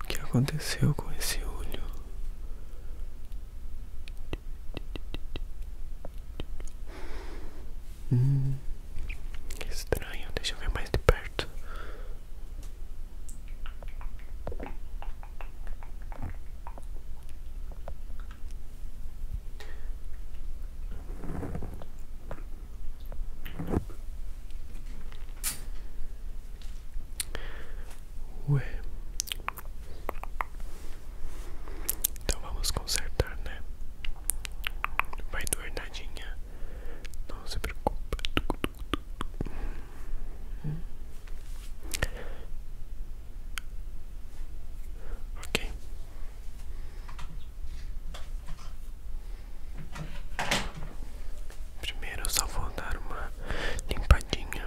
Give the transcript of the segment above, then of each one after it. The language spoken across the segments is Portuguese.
O que aconteceu com esse olho? Hum, estranho, deixa eu ver mais de perto. Ué. Então vamos consertar, né? Vai doer nadinha. Não se preocupa. Ok. Primeiro eu só vou dar uma limpadinha.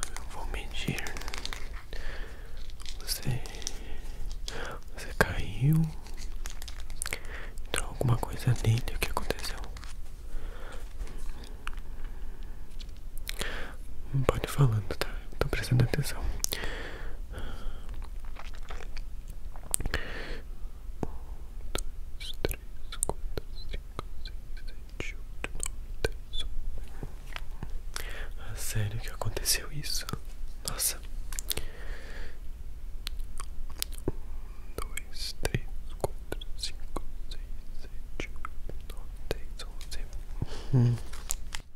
Então eu vou medir. Você, você caiu. Então alguma coisa dentro. O que aconteceu? Não pode falando, tá? Eu tô prestando atenção um dois, três, quatro, cinco, seis, sete, oito, nove, dez, um. Sério que aconteceu isso? Nossa. Um, dois, três, quatro, cinco, seis, sete, oito, nove, dez, onze. Hum.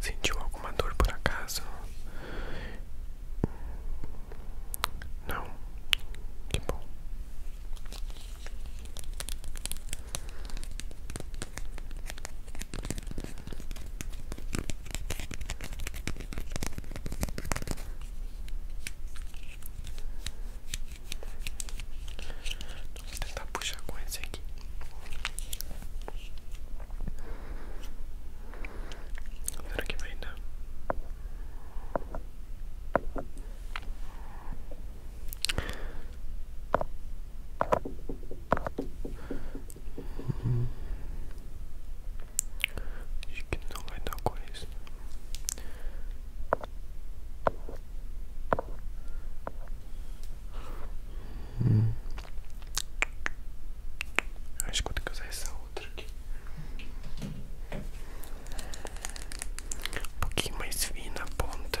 Sentiu alguma dor por acaso? Não, que bom. Vou tentar puxar com esse aqui. Será que vai dar? Uhum. Acho que não vai dar coisa. Hum. Acho que vou ter que usar essa outra aqui. Um pouquinho mais fina a ponta.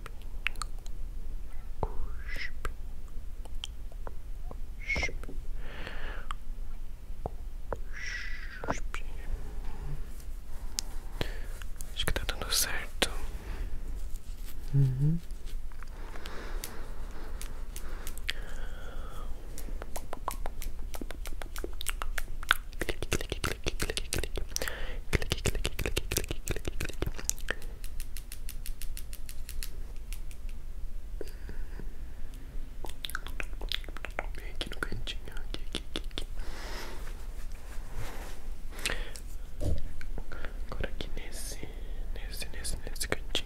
cuspe, Acho que tá dando certo. Clique, clique, clique, clique, clique clique, clique, clique, clique, clique, clique. Bem aqui no cantinho, aqui, aqui, aqui, aqui. Agora aqui nesse, nesse, nesse, nesse cantinho.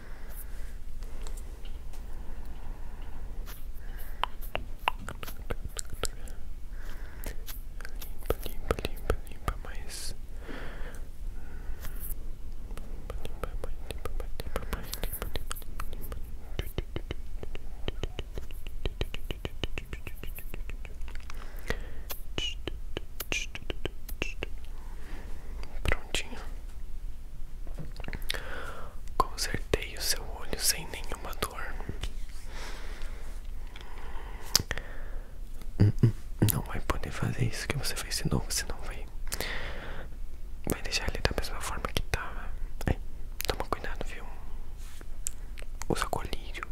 Limpa, limpa, limpa mais. Limpa, limpa, limpa, limpa mais. Limpa, limpa, limpa, limpa. Prontinho. Consertei o seu olho sem nenhuma dor. Hum, hum, hum, não vai poder fazer isso que você fez de novo, você não vai. Vai deixar ele da mesma forma que tava. Tá. toma cuidado, viu? Usa colírio.